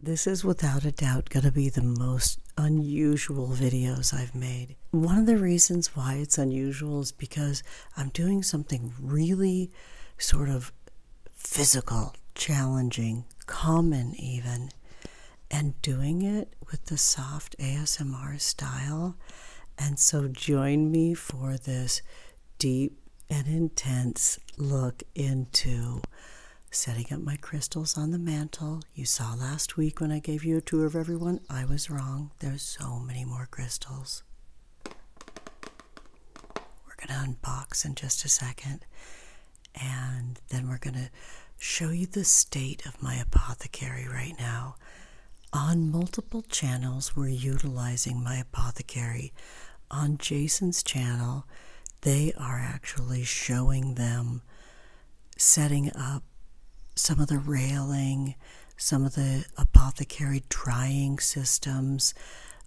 This is without a doubt going to be the most unusual videos I've made. One of the reasons why it's unusual is because I'm doing something really sort of physical, challenging, common even, and doing it with the soft ASMR style. And so join me for this deep and intense look into setting up my crystals on the mantle. You saw last week when I gave you a tour of everyone, I was wrong. There's so many more crystals. We're going to unbox in just a second, and then we're going to show you the state of my apothecary right now. On multiple channels, we're utilizing my apothecary. On Jason's channel, they are actually showing them setting up some of the railing, some of the apothecary drying systems.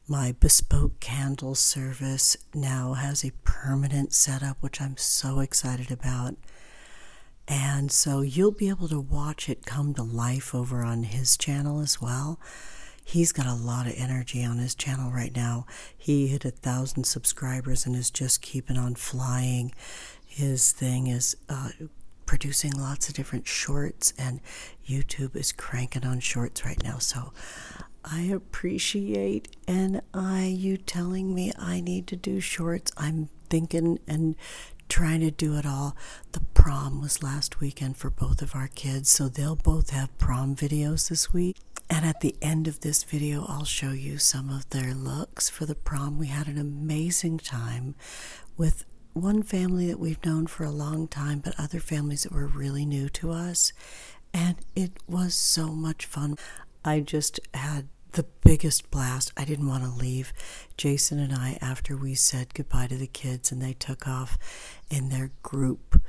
My bespoke candle service now has a permanent setup, which I'm so excited about. And so you'll be able to watch it come to life over on his channel as well he's got a lot of energy on his channel right now. He hit a thousand subscribers and is just keeping on flying. His thing is uh, producing lots of different shorts, and YouTube is cranking on shorts right now. So I appreciate and I you telling me I need to do shorts. I'm thinking and trying to do it all. The prom was last weekend for both of our kids, so they'll both have prom videos this week. And at the end of this video, I'll show you some of their looks for the prom. We had an amazing time with one family that we've known for a long time, but other families that were really new to us. And it was so much fun. I just had the biggest blast. I didn't want to leave. Jason and I, after we said goodbye to the kids and they took off in their group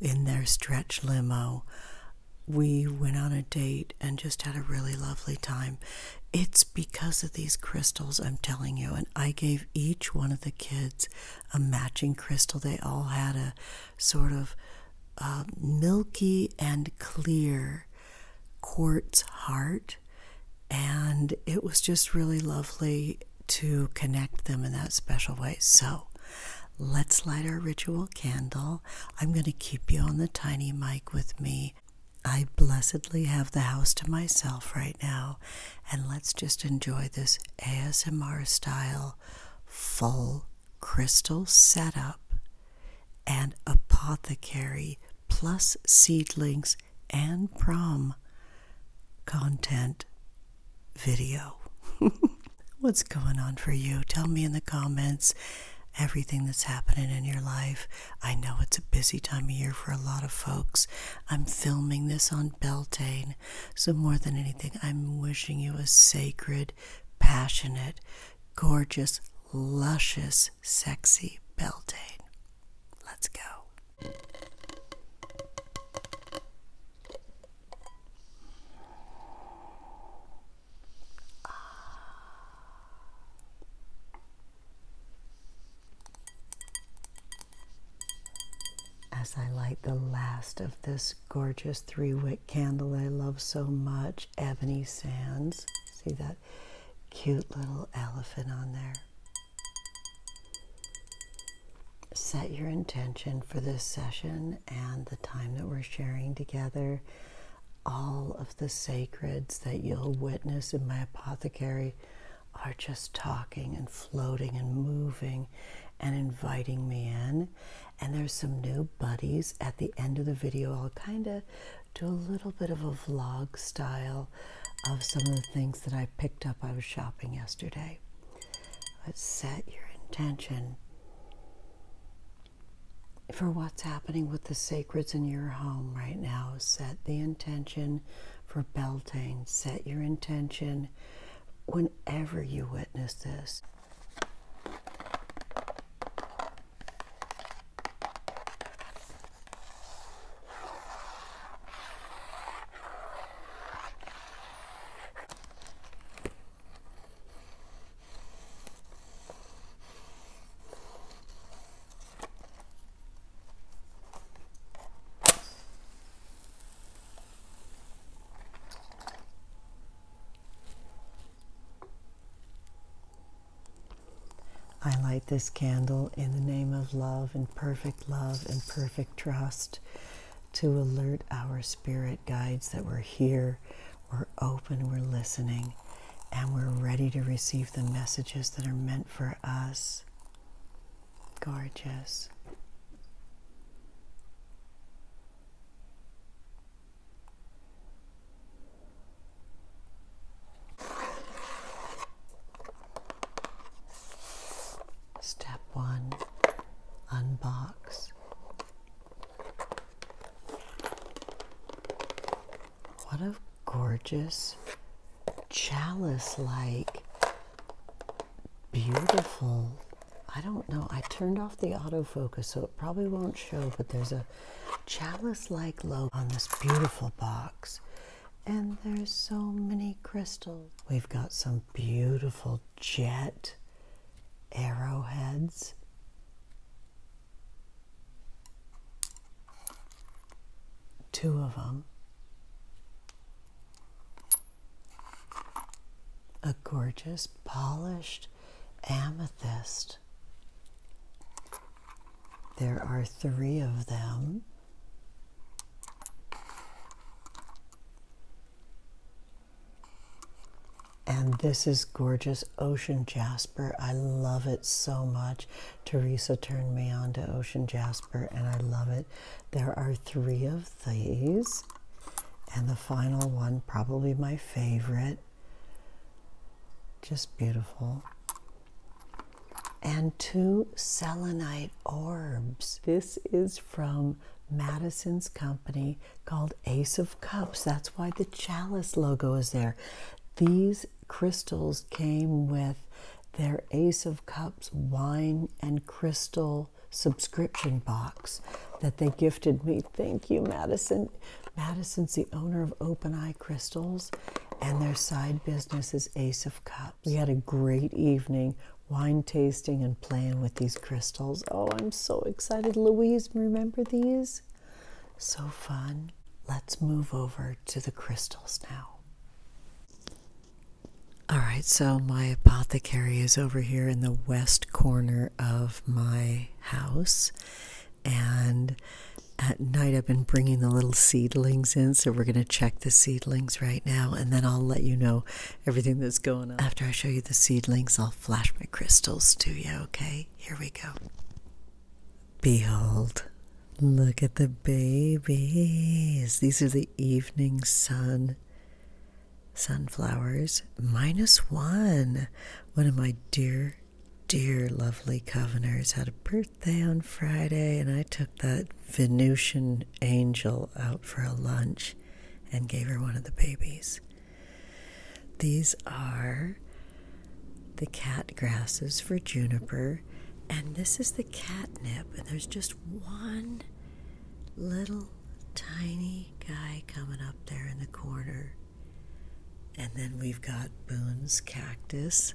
in their stretch limo. We went on a date and just had a really lovely time. It's because of these crystals, I'm telling you. And I gave each one of the kids a matching crystal. They all had a sort of uh, milky and clear quartz heart. And it was just really lovely to connect them in that special way. So Let's light our ritual candle. I'm going to keep you on the tiny mic with me. I blessedly have the house to myself right now, and let's just enjoy this ASMR style full crystal setup and apothecary plus seedlings and prom content video. What's going on for you? Tell me in the comments everything that's happening in your life. I know it's a busy time of year for a lot of folks. I'm filming this on Beltane, so more than anything, I'm wishing you a sacred, passionate, gorgeous, luscious, sexy Beltane. Let's go. As I light the last of this gorgeous three wick candle I love so much, Ebony Sands. See that cute little elephant on there? set your intention for this session and the time that we're sharing together. All of the sacreds that you'll witness in my apothecary are just talking and floating and moving and inviting me in. And there's some new buddies at the end of the video. I'll kind of do a little bit of a vlog style of some of the things that I picked up. I was shopping yesterday set your intention for what's happening with the sacreds in your home right now. Set the intention for Beltane. Set your intention whenever you witness this. I light this candle in the name of love and perfect love and perfect trust to alert our spirit guides that we're here, we're open, we're listening, and we're ready to receive the messages that are meant for us. Gorgeous. Step one, unbox what a gorgeous, chalice like, beautiful. I don't know. I turned off the autofocus, so it probably won't show, but there's a chalice like lobe on this beautiful box. And there's so many crystals. We've got some beautiful jet arrowheads. Two of them. A gorgeous polished amethyst. There are three of them. And this is gorgeous ocean jasper. I love it so much. Teresa turned me on to ocean jasper and I love it. There are three of these. And the final one, probably my favorite. Just beautiful. And two selenite orbs. This is from Madison's company called Ace of Cups. That's why the chalice logo is there. These crystals came with their Ace of Cups wine and crystal subscription box that they gifted me. Thank you, Madison. Madison's the owner of Open Eye Crystals, and their side business is Ace of Cups. We had a great evening, wine tasting and playing with these crystals. Oh, I'm so excited. Louise, remember these? So fun. Let's move over to the crystals now. All right, so my apothecary is over here in the west corner of my house. And at night, I've been bringing the little seedlings in. So we're going to check the seedlings right now. And then I'll let you know everything that's going on. After I show you the seedlings, I'll flash my crystals to you, okay? Here we go. Behold, look at the babies. These are the evening sun sunflowers, minus one. One of my dear, dear, lovely coveners had a birthday on Friday, and I took that Venusian angel out for a lunch and gave her one of the babies. These are the cat grasses for juniper, and this is the catnip, and there's just one little tiny guy coming up there in the corner. And then we've got Boone's cactus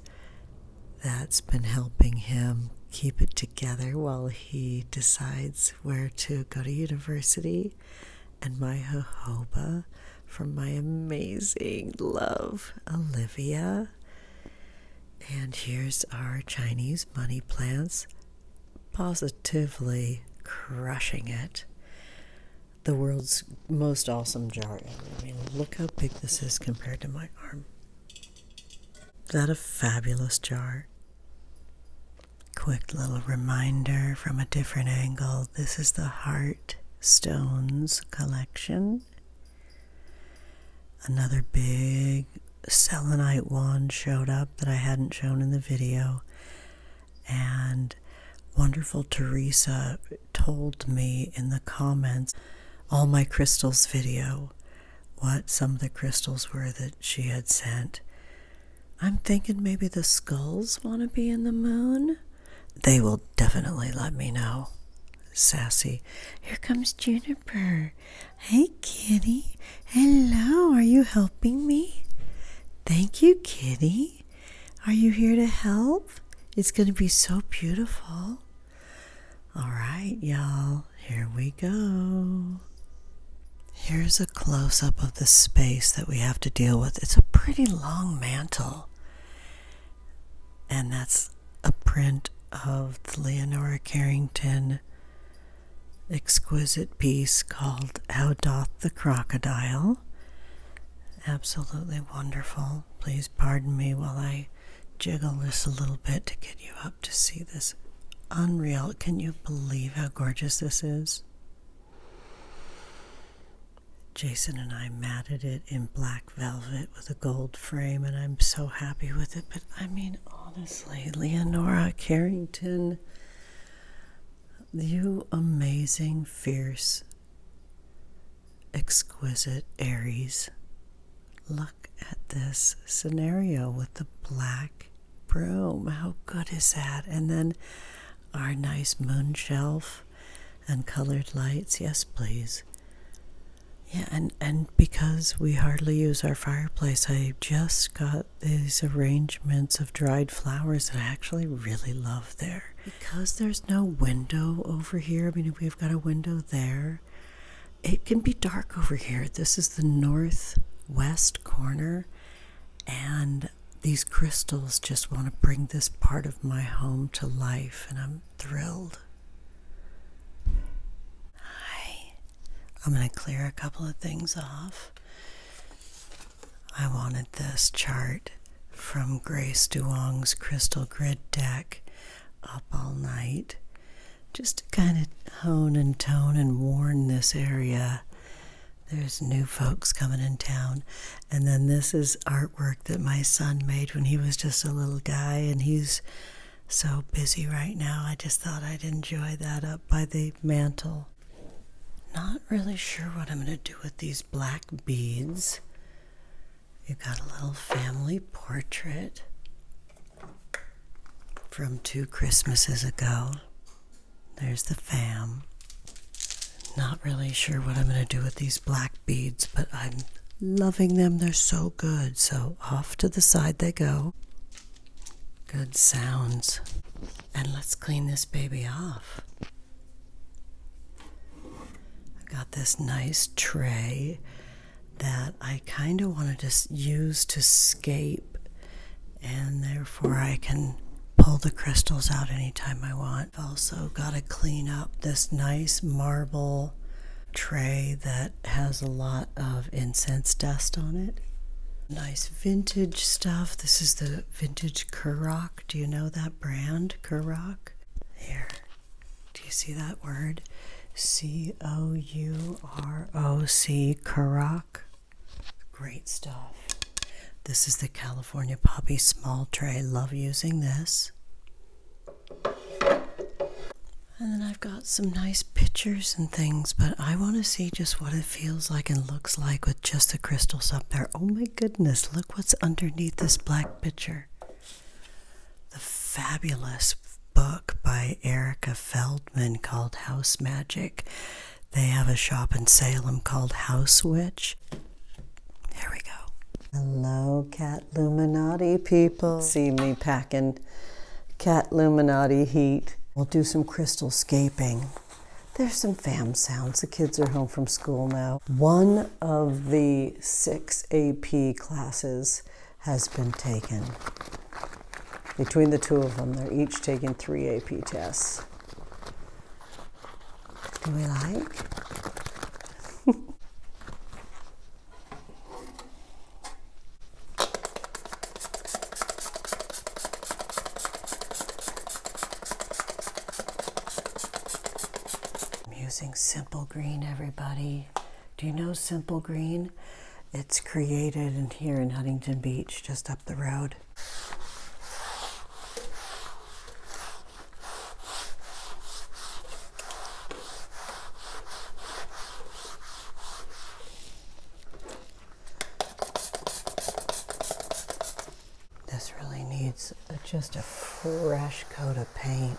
that's been helping him keep it together while he decides where to go to university and my jojoba from my amazing love, Olivia. And here's our Chinese money plants positively crushing it. The world's most awesome jar. I mean, look how big this is compared to my arm. Is that a fabulous jar? Quick little reminder from a different angle this is the Heart Stones collection. Another big selenite wand showed up that I hadn't shown in the video, and wonderful Teresa told me in the comments all my crystals video what some of the crystals were that she had sent. I'm thinking maybe the skulls want to be in the moon. They will definitely let me know. Sassy. Here comes Juniper. Hey, kitty. Hello. Are you helping me? Thank you, kitty. Are you here to help? It's going to be so beautiful. All right, y'all. Here we go. Here's a close up of the space that we have to deal with. It's a pretty long mantle. And that's a print of the Leonora Carrington exquisite piece called How Doth the Crocodile. Absolutely wonderful. Please pardon me while I jiggle this a little bit to get you up to see this. Unreal. Can you believe how gorgeous this is? Jason and I matted it in black velvet with a gold frame, and I'm so happy with it. But I mean, honestly, Leonora Carrington, you amazing, fierce, exquisite Aries. Look at this scenario with the black broom. How good is that? And then our nice moon shelf and colored lights. Yes, please. Yeah, and, and because we hardly use our fireplace, I just got these arrangements of dried flowers that I actually really love there. Because there's no window over here, I mean, we've got a window there, it can be dark over here. This is the northwest corner, and these crystals just want to bring this part of my home to life, and I'm thrilled. Hi, I'm going to clear a couple of things off. I wanted this chart from Grace Duong's Crystal Grid deck up all night just to kind of hone and tone and warn this area there's new folks coming in town. And then this is artwork that my son made when he was just a little guy, and he's so busy right now. I just thought I'd enjoy that up by the mantle. Not really sure what I'm going to do with these black beads. You've got a little family portrait from two Christmases ago. There's the fam. Not really sure what I'm going to do with these black beads, but I'm loving them. They're so good. So off to the side they go. Good sounds. And let's clean this baby off. I've got this nice tray that I kind of wanted to use to scape and therefore I can pull the crystals out anytime I want. I've also got to clean up this nice marble tray that has a lot of incense dust on it. Nice vintage stuff. This is the vintage Kurok. Do you know that brand, Kurok? Here. Do you see that word? C O U R O C Kurok. Great stuff. This is the California Poppy small tray. Love using this. And then I've got some nice pictures and things, but I want to see just what it feels like and looks like with just the crystals up there. Oh my goodness, look what's underneath this black picture. The fabulous book by Erica Feldman called House Magic. They have a shop in Salem called House Witch. There we go. Hello, Cat Luminati people. See me packing Cat Luminati heat. We'll do some crystal scaping. There's some fam sounds. The kids are home from school now. One of the six AP classes has been taken. Between the two of them, they're each taking three AP tests do we like? I'm using Simple Green, everybody. Do you know Simple Green? It's created in here in Huntington Beach, just up the road. This really needs just a fresh coat of paint.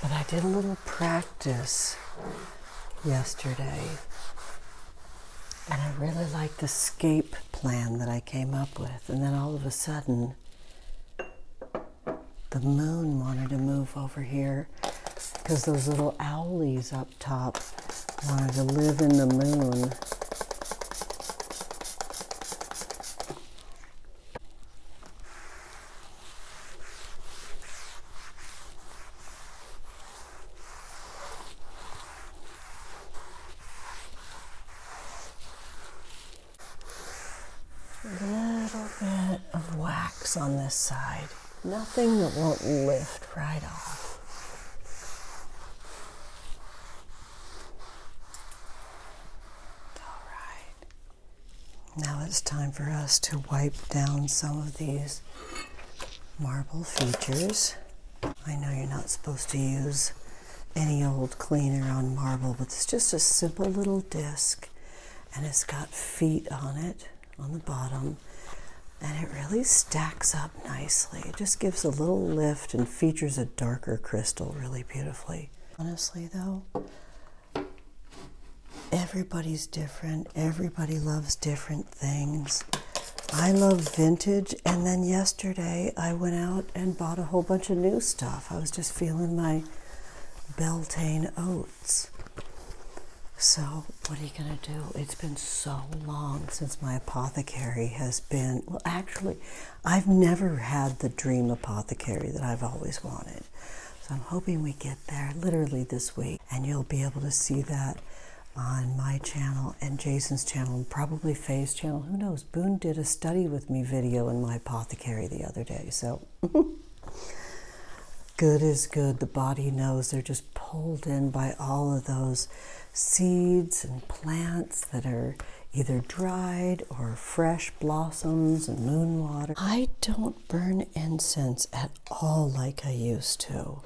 But I did a little practice yesterday. And I really liked the scape plan that I came up with. And then all of a sudden, the moon wanted to move over here because those little owlies up top wanted to live in the moon. A Little bit of wax on this side. Nothing that won't lift right off. All right. Now it's time for us to wipe down some of these marble features. I know you're not supposed to use any old cleaner on marble, but it's just a simple little disc and it's got feet on it on the bottom and it really stacks up nicely. It just gives a little lift and features a darker crystal really beautifully. Honestly though, everybody's different. Everybody loves different things. I love vintage. And then yesterday I went out and bought a whole bunch of new stuff. I was just feeling my Beltane oats. So, what are you going to do? It's been so long since my apothecary has been. Well, actually, I've never had the dream apothecary that I've always wanted. So, I'm hoping we get there literally this week, and you'll be able to see that on my channel and Jason's channel, and probably Faye's channel. Who knows? Boone did a study with me video in my apothecary the other day, so. good is good. The body knows they're just pulled in by all of those seeds and plants that are either dried or fresh blossoms and moon water. I don't burn incense at all like I used to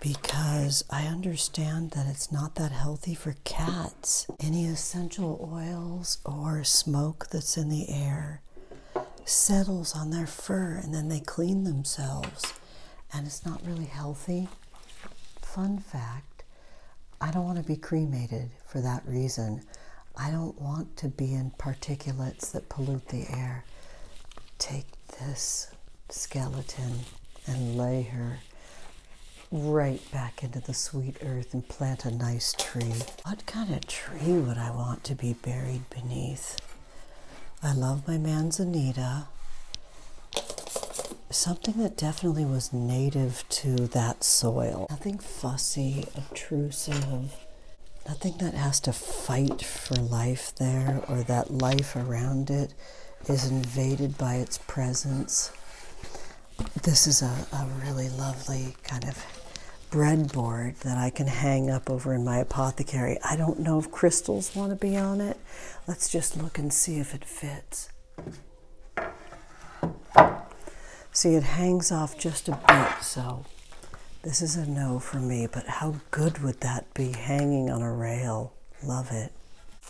because I understand that it's not that healthy for cats. Any essential oils or smoke that's in the air settles on their fur and then they clean themselves, and it's not really healthy. Fun fact I don't want to be cremated for that reason. I don't want to be in particulates that pollute the air. Take this skeleton and lay her right back into the sweet earth and plant a nice tree. What kind of tree would I want to be buried beneath? I love my manzanita. Something that definitely was native to that soil. Nothing fussy, obtrusive nothing that has to fight for life there or that life around it is invaded by its presence. This is a, really lovely kind of breadboard that I can hang up over in my apothecary. I don't know if crystals want to be on it. Let's just look and see if it fits. See, it hangs off just a bit, so this is a no for me, but how good would that be hanging on a rail? Love it.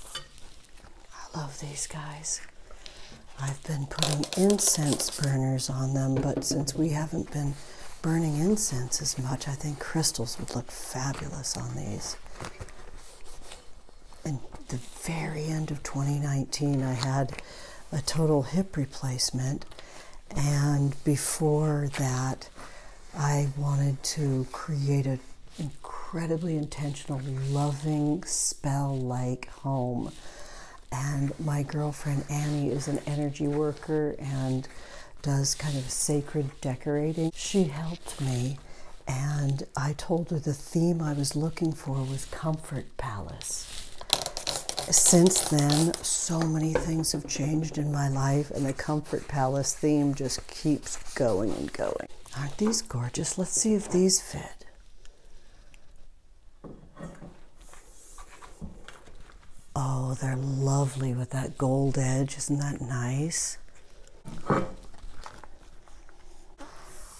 I love these guys. I've been putting incense burners on them, but since we haven't been burning incense as much, I think crystals would look fabulous on these. And the very end of 2019, I had a total hip replacement and before that, I wanted to create an incredibly intentional, loving, spell like home. And my girlfriend Annie is an energy worker and does kind of sacred decorating. She helped me, and I told her the theme I was looking for was Comfort Palace since then, so many things have changed in my life, and the Comfort Palace theme just keeps going and going. Aren't these gorgeous? Let's see if these fit. Oh, they're lovely with that gold edge. Isn't that nice?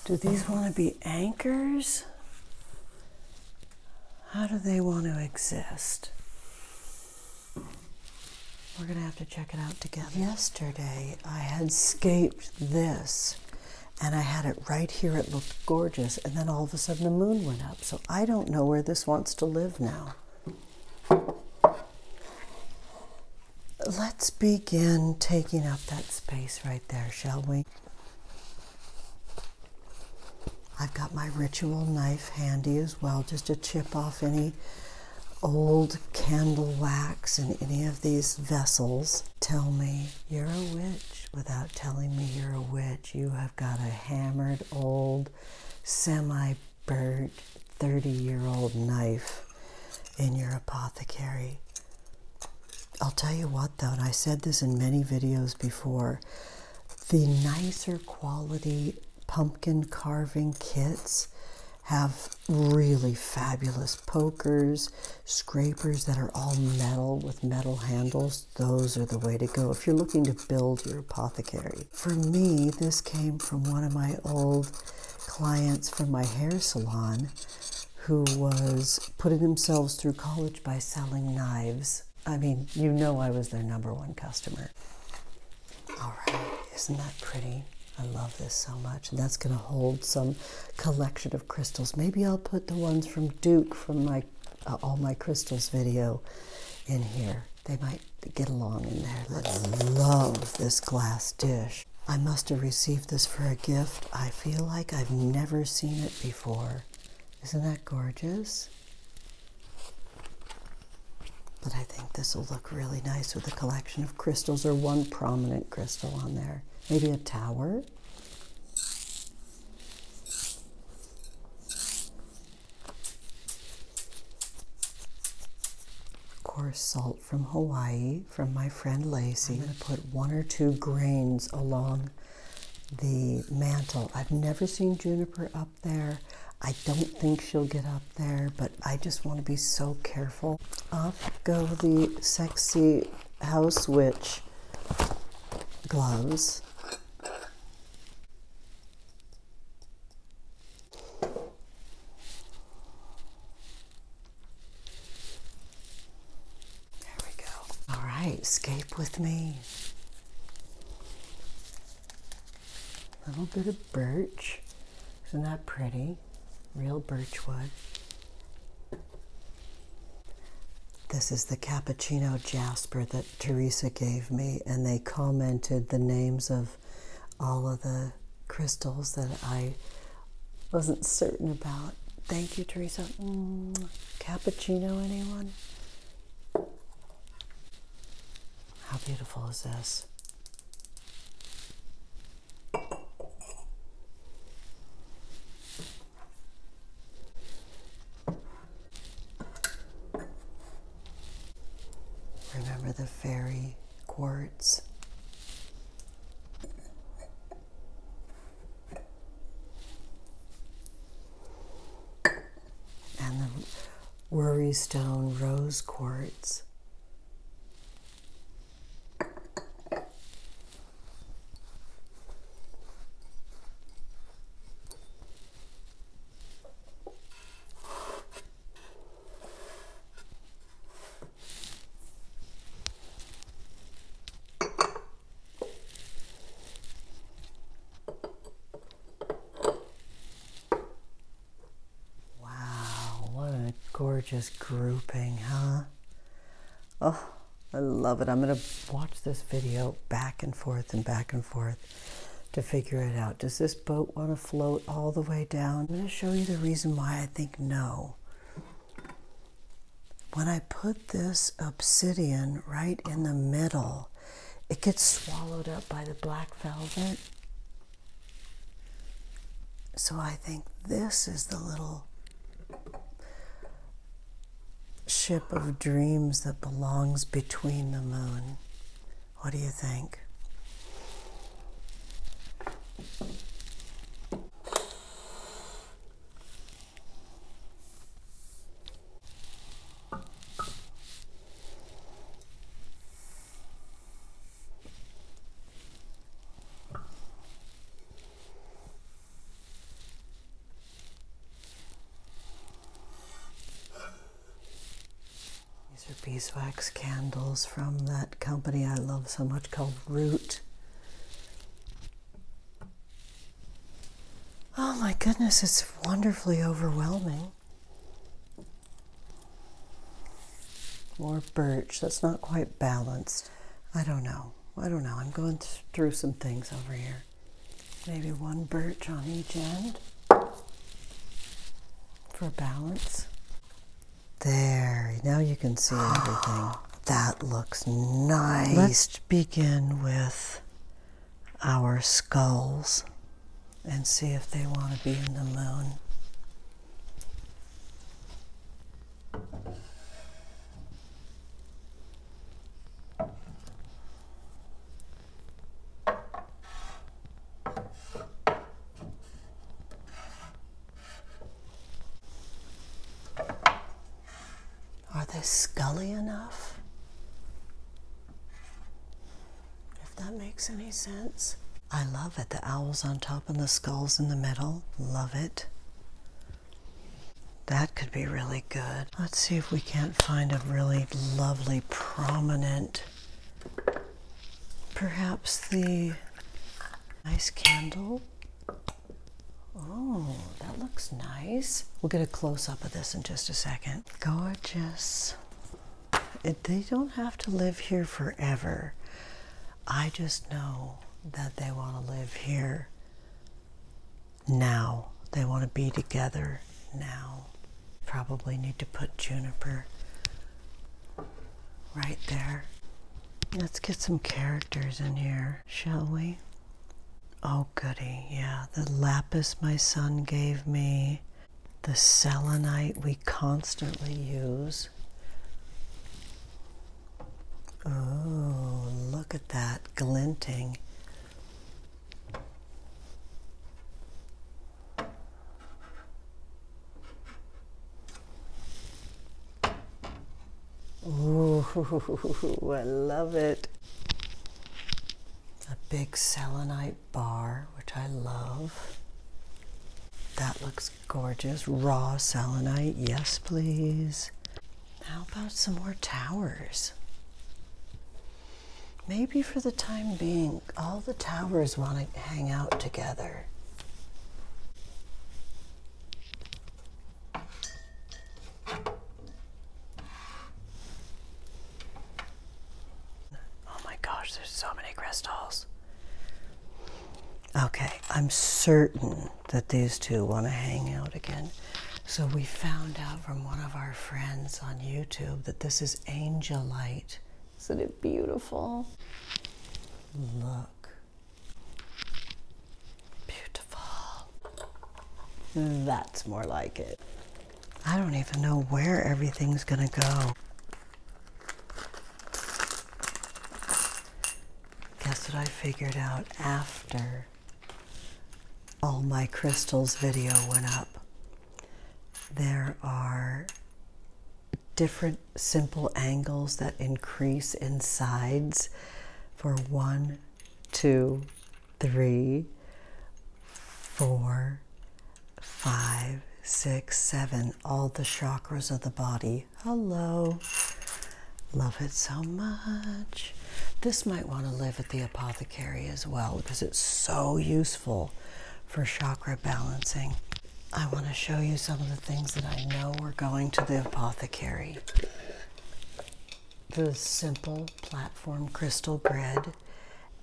Do these want to be anchors? How do they want to exist? We're going to have to check it out together. Yesterday, I had scaped this and I had it right here. It looked gorgeous. And then all of a sudden, the moon went up. So I don't know where this wants to live now. Let's begin taking up that space right there, shall we? I've got my ritual knife handy as well, just to chip off any old candle wax in any of these vessels. Tell me you're a witch without telling me you're a witch. You have got a hammered old, semi burnt, 30 year old knife in your apothecary. I'll tell you what, though, I said this in many videos before the nicer quality pumpkin carving kits have really fabulous pokers, scrapers that are all metal with metal handles. Those are the way to go if you're looking to build your apothecary. For me, this came from one of my old clients from my hair salon who was putting themselves through college by selling knives I mean, you know I was their number one customer. All right, isn't that pretty? I love this so much. And that's going to hold some collection of crystals. Maybe I'll put the ones from Duke from my uh, All My Crystals video in here. They might get along in there. I love this glass dish. I must have received this for a gift. I feel like I've never seen it before. Isn't that gorgeous? But I think this will look really nice with a collection of crystals or one prominent crystal on there. Maybe a tower. Coarse salt from Hawaii from my friend Lacey. I'm going to put one or two grains along the mantle. I've never seen juniper up there. I don't think she'll get up there, but I just want to be so careful. Off go the sexy house witch gloves. There we go. All right, escape with me. A little bit of birch. Isn't that pretty? Real birchwood. This is the cappuccino jasper that Teresa gave me, and they commented the names of all of the crystals that I wasn't certain about. Thank you, Teresa. Mm, cappuccino, anyone? How beautiful is this? Remember the fairy quartz? and the worry stone rose quartz. Wow, what a gorgeous grouping, huh? Oh, I love it. I'm going to watch this video back and forth and back and forth to figure it out. Does this boat want to float all the way down? I'm going to show you the reason why I think no. When I put this obsidian right in the middle, it gets swallowed up by the black velvet. So I think this is the little ship of dreams that belongs between the moon. What do you think? These are beeswax candles from that company I love so much called Root. Oh my goodness, it's wonderfully overwhelming. More birch. That's not quite balanced. I don't know. I don't know. I'm going through some things over here. Maybe one birch on each end for balance. There. Now you can see everything. that looks nice. Let's begin with our skulls and see if they want to be in the moon. Are they scully enough? If that makes any sense. I love it. The owls on top and the skulls in the middle. Love it. That could be really good. Let's see if we can't find a really lovely, prominent, perhaps the nice candle. Oh, that looks nice. We'll get a close up of this in just a second gorgeous? they don't have to live here forever. I just know that they want to live here now. They want to be together now. Probably need to put juniper right there. Let's get some characters in here, shall we? Oh, goody, yeah. The lapis my son gave me, the selenite we constantly use. Oh, look at that glinting. Ooh, I love it. A big selenite bar, which I love. That looks gorgeous. Raw selenite, yes please. How about some more towers? Maybe for the time being, all the towers want to hang out together. Oh my gosh, there's so many crystals. Okay, I'm certain that these two want to hang out again. So we found out from one of our friends on YouTube that this is angelite. Isn't it beautiful? Look. Beautiful. That's more like it. I don't even know where everything's going to go. Guess what I figured out after all my crystals video went up? There are different simple angles that increase in sides for one, two, three, four, five, six, seven. All the chakras of the body. Hello. Love it so much. This might want to live at the apothecary as well because it's so useful for chakra balancing. I want to show you some of the things that I know we're going to the apothecary. The simple platform crystal grid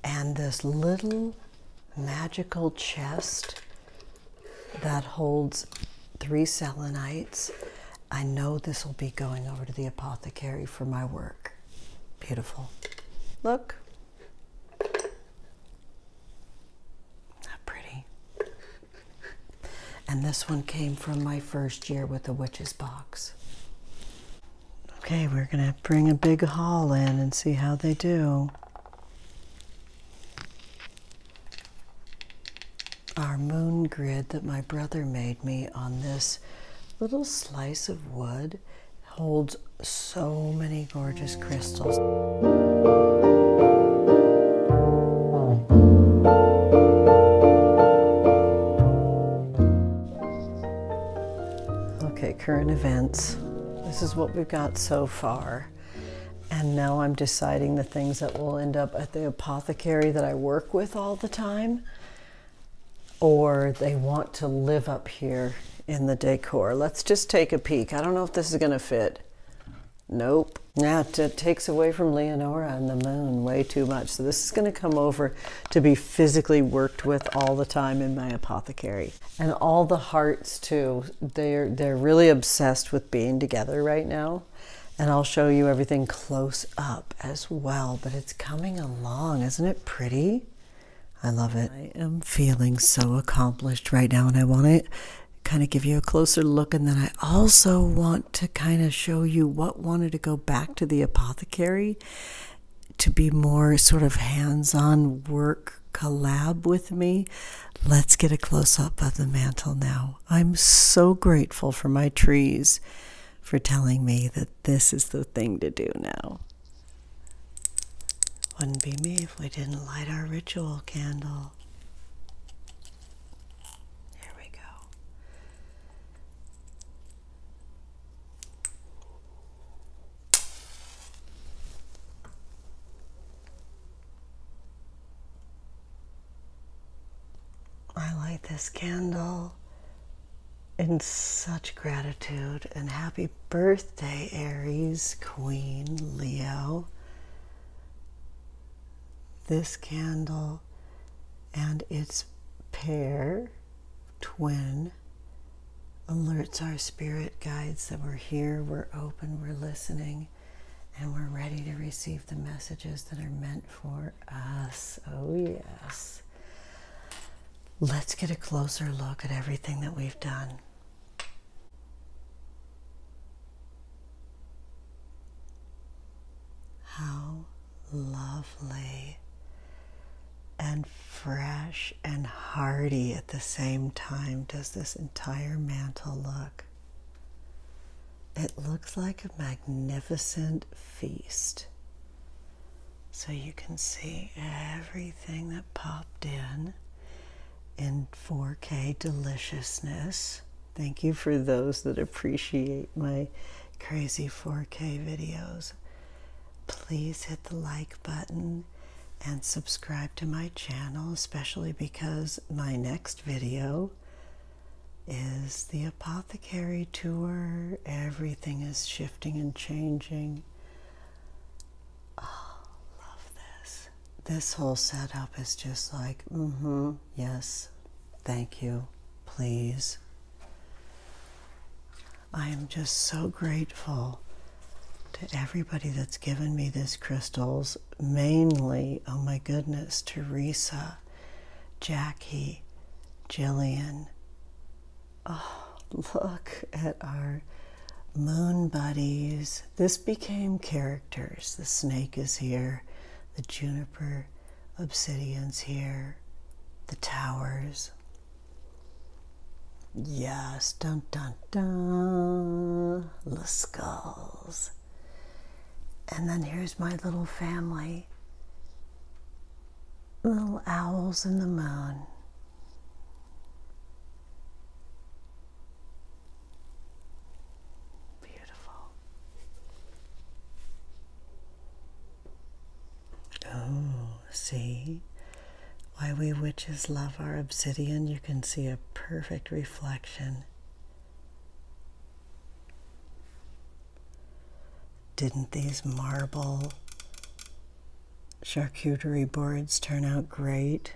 and this little magical chest that holds three selenites. I know this will be going over to the apothecary for my work. Beautiful. Look. Not pretty. And this one came from my first year with the witch's box. Okay, we're going to bring a big haul in and see how they do. Our moon grid that my brother made me on this little slice of wood holds so many gorgeous crystals current events. This is what we've got so far. And now I'm deciding the things that will end up at the apothecary that I work with all the time, or they want to live up here in the decor. Let's just take a peek. I don't know if this is going to fit. Nope. Now it takes away from Leonora and the moon way too much. So this is going to come over to be physically working with all the time in my apothecary. And all the hearts too. They're they're really obsessed with being together right now. And I'll show you everything close up as well, but it's coming along. Isn't it pretty? I love it. I am feeling so accomplished right now and I want to kind of give you a closer look and then I also want to kind of show you what wanted to go back to the apothecary to be more sort of hands on work collab with me, let's get a close up of the mantle now. I'm so grateful for my trees for telling me that this is the thing to do now. Wouldn't be me if we didn't light our ritual candle. There we go. I light this candle in such gratitude and happy birthday, Aries, Queen, Leo. This candle and its pair twin alerts our spirit guides that we're here, we're open, we're listening, and we're ready to receive the messages that are meant for us. Oh, yes. Let's get a closer look at everything that we've done. How lovely and fresh and hearty at the same time does this entire mantle look. It looks like a magnificent feast. So you can see everything that popped in in 4K deliciousness. Thank you for those that appreciate my crazy 4K videos please hit the like button and subscribe to my channel, especially because my next video is the apothecary tour. Everything is shifting and changing. Oh, love this. This whole setup is just like, mm hmm, yes, thank you, please. I am just so grateful to everybody that's given me these crystals, mainly, oh my goodness, Teresa, Jackie, Jillian. Oh, look at our moon buddies. This became characters. The snake is here, the juniper obsidian's here, the towers, Yes, dun dun dun. The skulls. And then here's my little family. Little owls in the moon. Beautiful. Oh, see? Why we witches love our obsidian, you can see a perfect reflection. Didn't these marble charcuterie boards turn out great?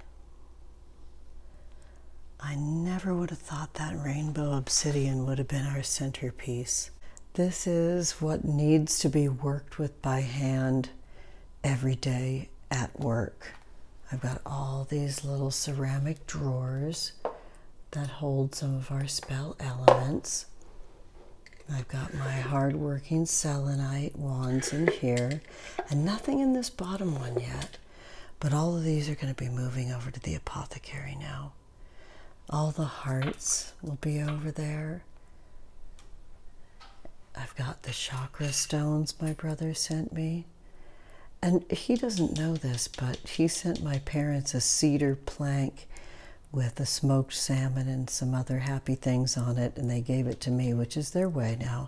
I never would have thought that rainbow obsidian would have been our centerpiece. This is what needs to be worked with by hand every day at work. I've got all these little ceramic drawers that hold some of our spell elements. I've got my hardworking selenite wands in here, and nothing in this bottom one yet. But all of these are going to be moving over to the apothecary now. All the hearts will be over there. I've got the chakra stones my brother sent me. And he doesn't know this, but he sent my parents a cedar plank with a smoked salmon and some other happy things on it, and they gave it to me, which is their way now.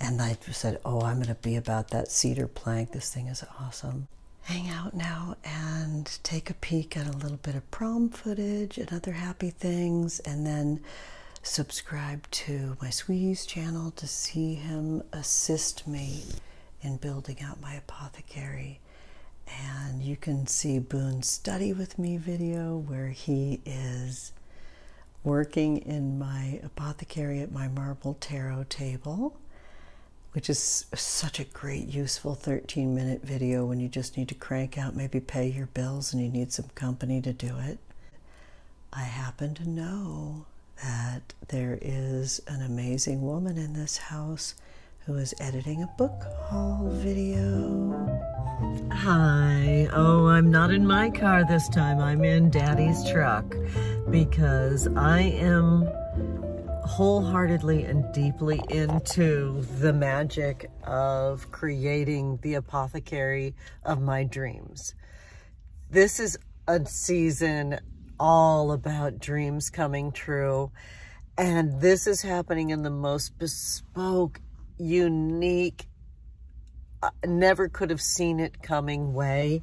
And I said, Oh, I'm going to be about that cedar plank. This thing is awesome. Hang out now and take a peek at a little bit of prom." footage and other happy things, and then subscribe to my Sweeties channel to see him assist me in building out my apothecary. And you can see Boone's study with me video where he is working in my apothecary at my marble tarot table, which is such a great, useful 13 minute video when you just need to crank out, maybe pay your bills and you need some company to do it. I happen to know that there is an amazing woman in this house who is editing a book haul video. Hi. Oh, I'm not in my car this time. I'm in Daddy's truck because I am wholeheartedly and deeply into the magic of creating the apothecary of my dreams. This is a season all about dreams coming true. And this is happening in the most bespoke, unique, I uh, never could have seen it coming way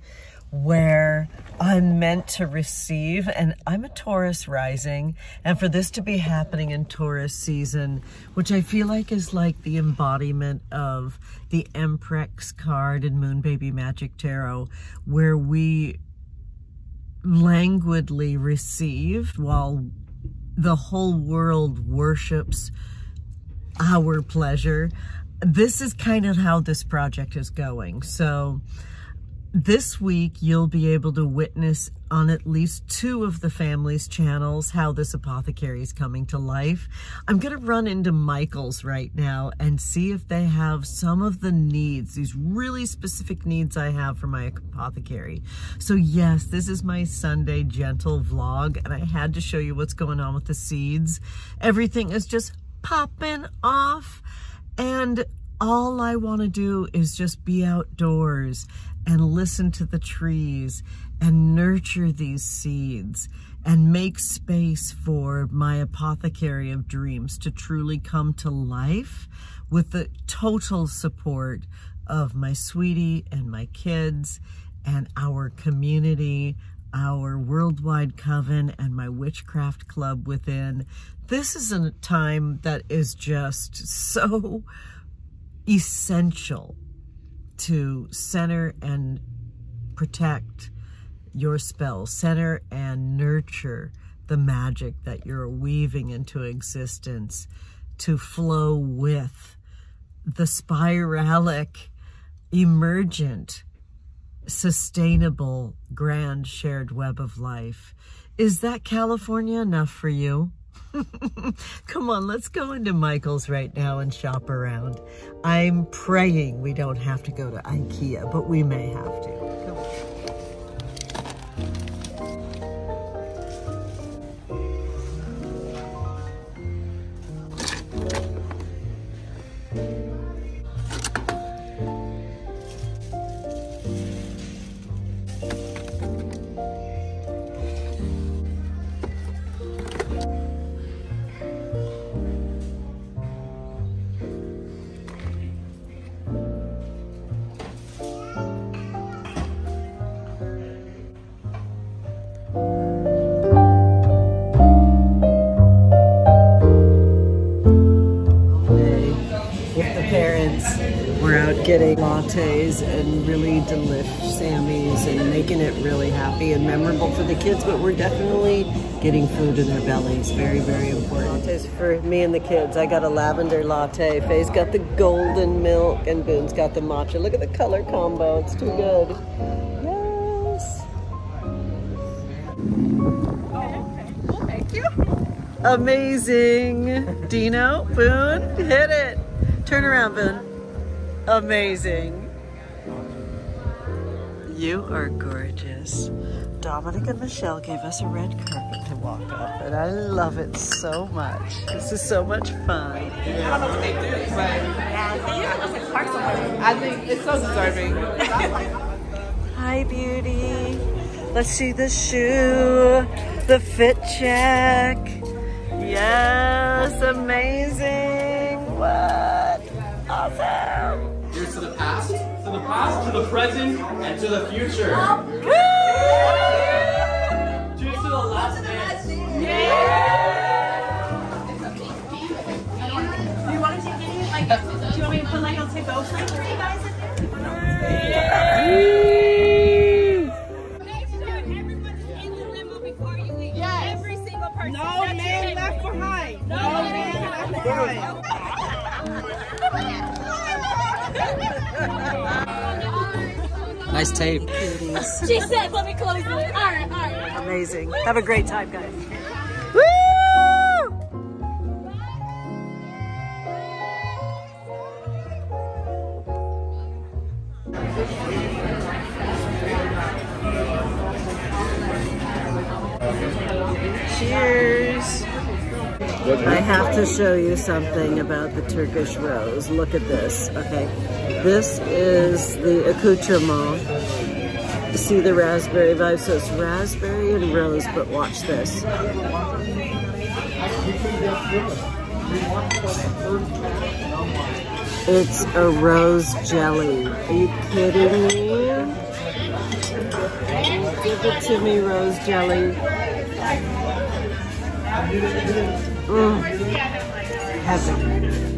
where I'm meant to receive. And I'm a Taurus rising. And for this to be happening in Taurus season which I feel like is like the embodiment of the Emprex card in Moon Baby Magic Tarot, where we languidly receive while the whole world worships our pleasure. This is kind of how this project is going. So this week, you'll be able to witness on at least two of the family's channels how this apothecary is coming to life. I'm going to run into Michael's right now and see if they have some of the needs, these really specific needs I have for my apothecary. So yes, this is my Sunday gentle vlog and I had to show you what's going on with the seeds. Everything is just popping off and all I want to do is just be outdoors and listen to the trees and nurture these seeds and make space for my apothecary of dreams to truly come to life with the total support of my sweetie and my kids and our community, our worldwide coven and my witchcraft club within. This is a time that is just so essential to center and protect your spell, center and nurture the magic that you're weaving into existence to flow with the spiralic, emergent, sustainable, grand shared web of life. Is that California enough for you? Come on, let's go into Michael's right now and shop around. I'm praying we don't have to go to Ikea, but we may have to with the parents. We're out getting lattes and really delicious. Sammy's and making it really happy and memorable for the kids, but we're definitely getting food in their bellies. Very, very important. Lattes for me and the kids. I got a lavender latte. Faye's got the golden milk and boon has got the matcha. Look at the color combo. It's too good. Yes. Well, thank you. Amazing. Dino, Boon, hit it. Turn around, Boon amazing. You are gorgeous. Dominic and Michelle gave us a red carpet to walk up, and I love it so much. This is so much fun. I don't know what they do, but I think it's so deserving. Hi, beauty. Let's see the shoe, the fit check. Yes, amazing. What? Awesome. Here's to the past, to the past, to the present, and to the future. Cheers to the last dance. Yeah! Do you want to take any, like, do you want me to put, like, I'll take both, you guys in there? Yeah. Yes. Every single person. No That's man left behind. No, man, left behind. nice tape. she says, let me close it. All right, Amazing. Have a great time, guys. Cheers. I have to show you something about the Turkish rose. Look at this, okay? This is the accoutrement. see the raspberry vibe? So it's raspberry and rose, but watch this. It's a rose jelly. Are you kidding me? Give it to me, rose jelly. Mm. Heaven.